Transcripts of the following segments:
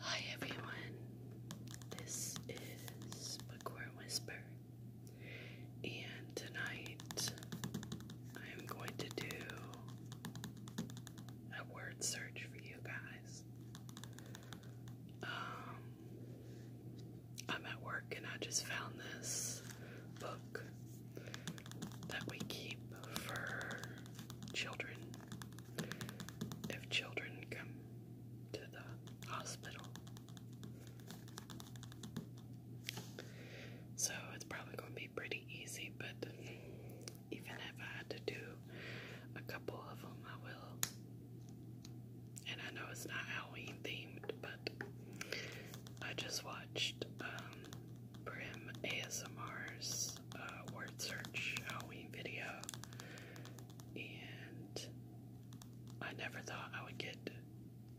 Hi everyone, this is Bookworm Whisper, and tonight I'm going to do a word search for you guys. Um, I'm at work and I just found this book that we keep for children if children come to the hospital. So it's probably going to be pretty easy, but even if I had to do a couple of them, I will. And I know it's not Halloween themed, but I just watched um, Brim ASMR's uh, word search Halloween video, and I never thought I would get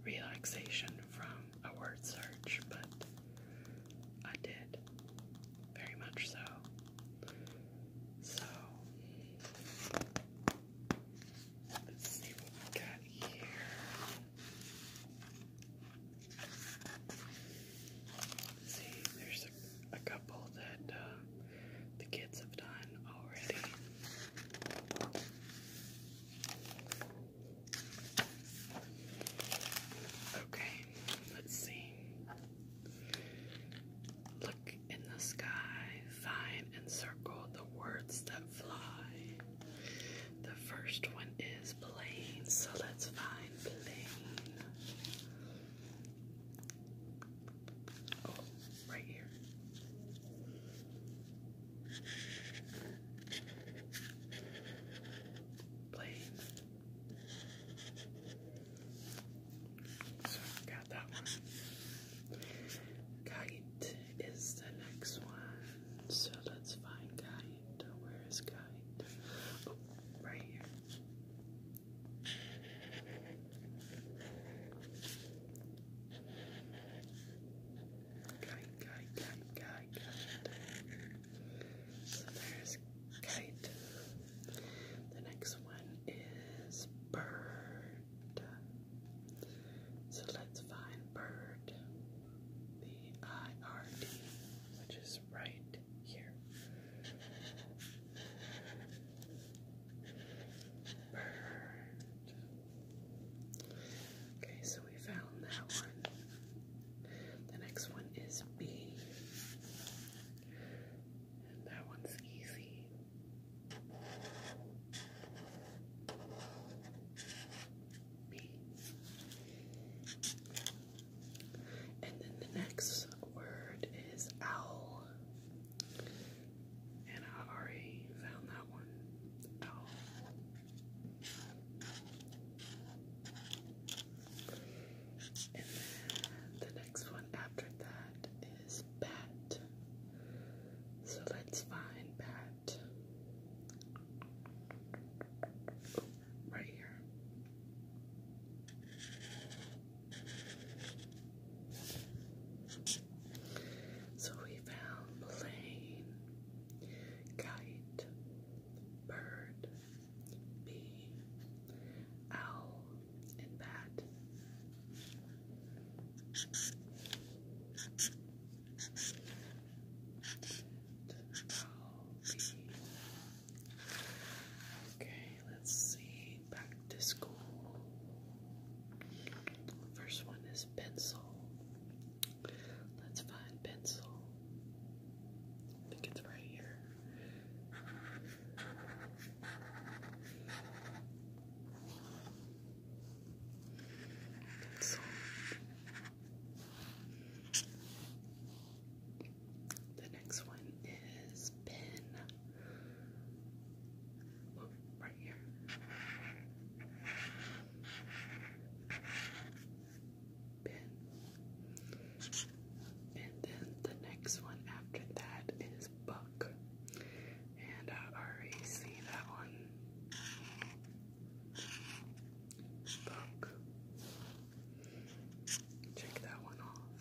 relaxation from a word search, but I did very much so. So let's see what we got here. See, there's a, couple that uh, the kids have done already. Okay, let's see. Look in the sky, find and circle the words that fly. The first one is plane, so let's find plane. Oh, right here. Plane. So got that one. Kite is the next one. So let's find kite. Where is kite? Oh, right here. Kite, kite, kite, kite, So there's kite. The next one is bird. So let's find bird. B I R D, which is right here. Okay, so we found that one. The next one is B. And that one's easy. B. And then the next word is owl. And I already found that one. Owl. And then the next one after that is bat. So let's find bat right here. So we found plane, kite, bird, bee, owl, and bat. Owl, bee, Okay, let's see. Back to school. First one is pencil. Let's find pencil. I think it's right here. Pencil. The next one is pin. Oh, right here. Pin. And then the next one after that is buck. And I already see that one. Buck. Check that one off.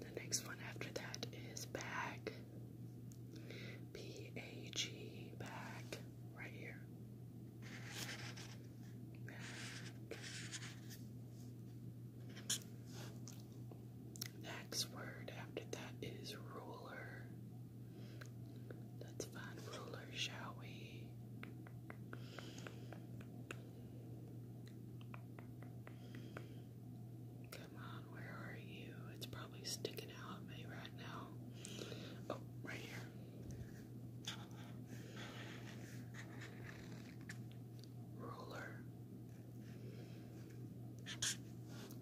The next one after that is bag. B A G bag right here. Next word after that is ruler. Let's ruler, shall we? Come on, where are you? It's probably sticking out at me right now. Oh, right here. Ruler.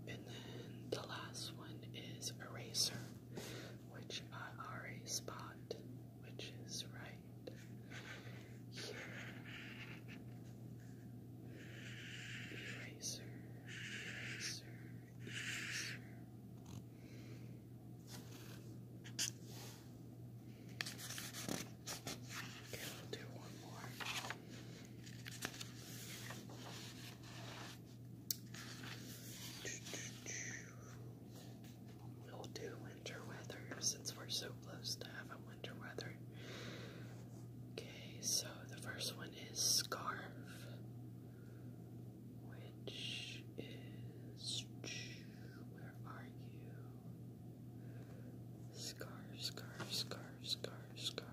And then the last one is eraser, which I already spot which is right Eraser, eraser, eraser. Okay, we'll do one more. We'll do winter weather since we're so close to having winter weather. Okay, so the first one is scarf, which is. Where are you? Scarf, scarf, scarf, scarf, scarf.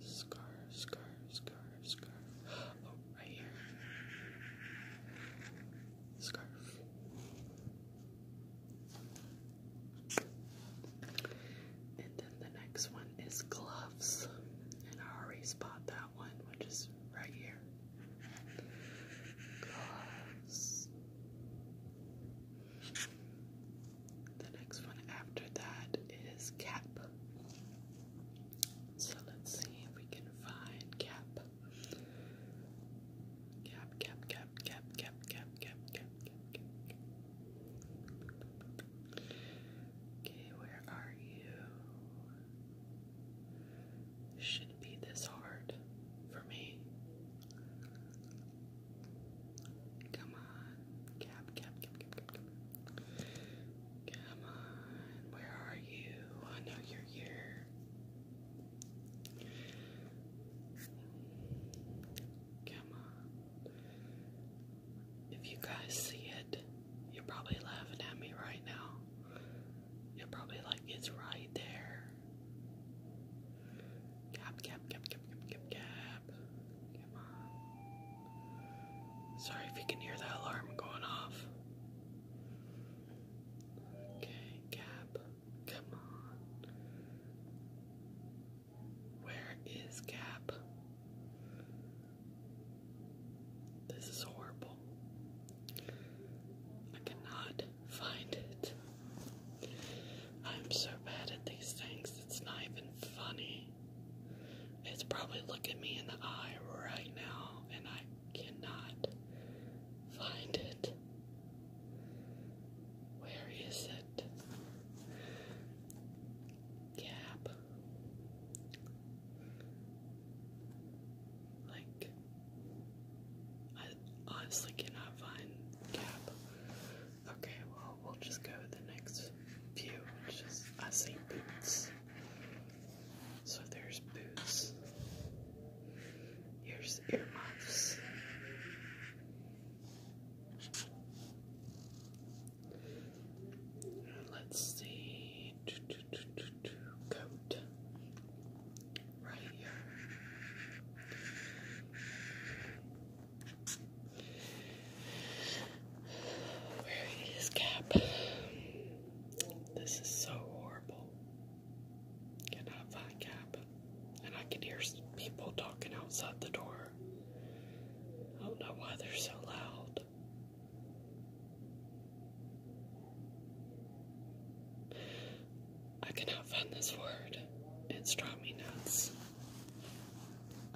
Scarf, scarf, scarf scarf. Oh, right here. Scarf. And then the next one is gloves. And I already spot that one, which is right here. Gloves. The next one after that is cap. So let's see if we can find Cap. Cap, Cap, Cap, Cap, Cap, Cap, Cap, Cap, Okay, where are you? Shouldn't be this hard for me. Come on. Cap, cap, cap, cap, cap, cap. Come on, where are you? I know you're here. Come on. If you guys see it, you're probably laughing at me right now. You're probably like, it's right there. Cap, cap, cap, cap, cap, cap, cap. Come on. Sorry if you can hear that alarm going off. Okay, Cap, come on. Where is Cap? This is horrible. I cannot find it. I'm so bad at these things, it's not even funny. It's probably looking me in the eye right now, and I cannot find it. Where is it? Gap. Like, I honestly cannot find Gap. Okay, well, we'll just go the next few, which is I see boots. So there's boots. Here's earmuffs. Let's see. Coat. Right here. Wearing cap. This is so horrible purple. Getting out of that and I can hear people talking outside the door. I don't know why they're so loud. I cannot find this word. It's driving me nuts.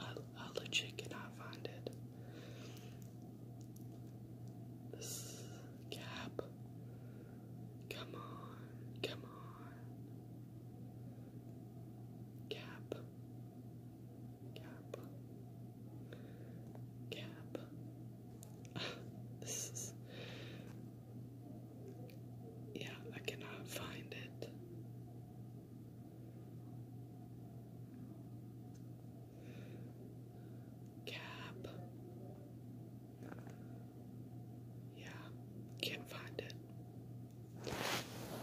I, I legit cannot find it. This cap. Come on, come on. Cap. Cap. Cap. this is. Yeah, I cannot find it. Cap. Yeah, can't find it.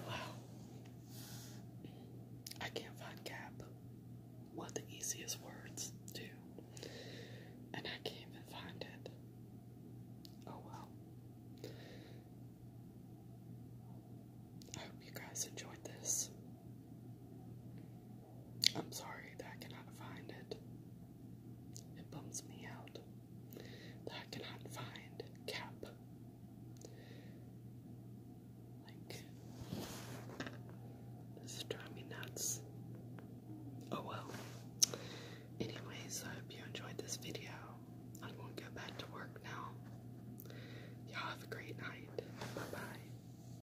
Wow. I can't find cap. One the easiest words, too. And I can't even find it. Oh well. hope you guys enjoyed this. I'm sorry that I cannot find it. It bums me out that I cannot find cap. Like, this is driving me nuts. Oh well. Anyways, I hope you enjoyed this video. I'm going to go back to work now. Y'all have a great night. Bye bye.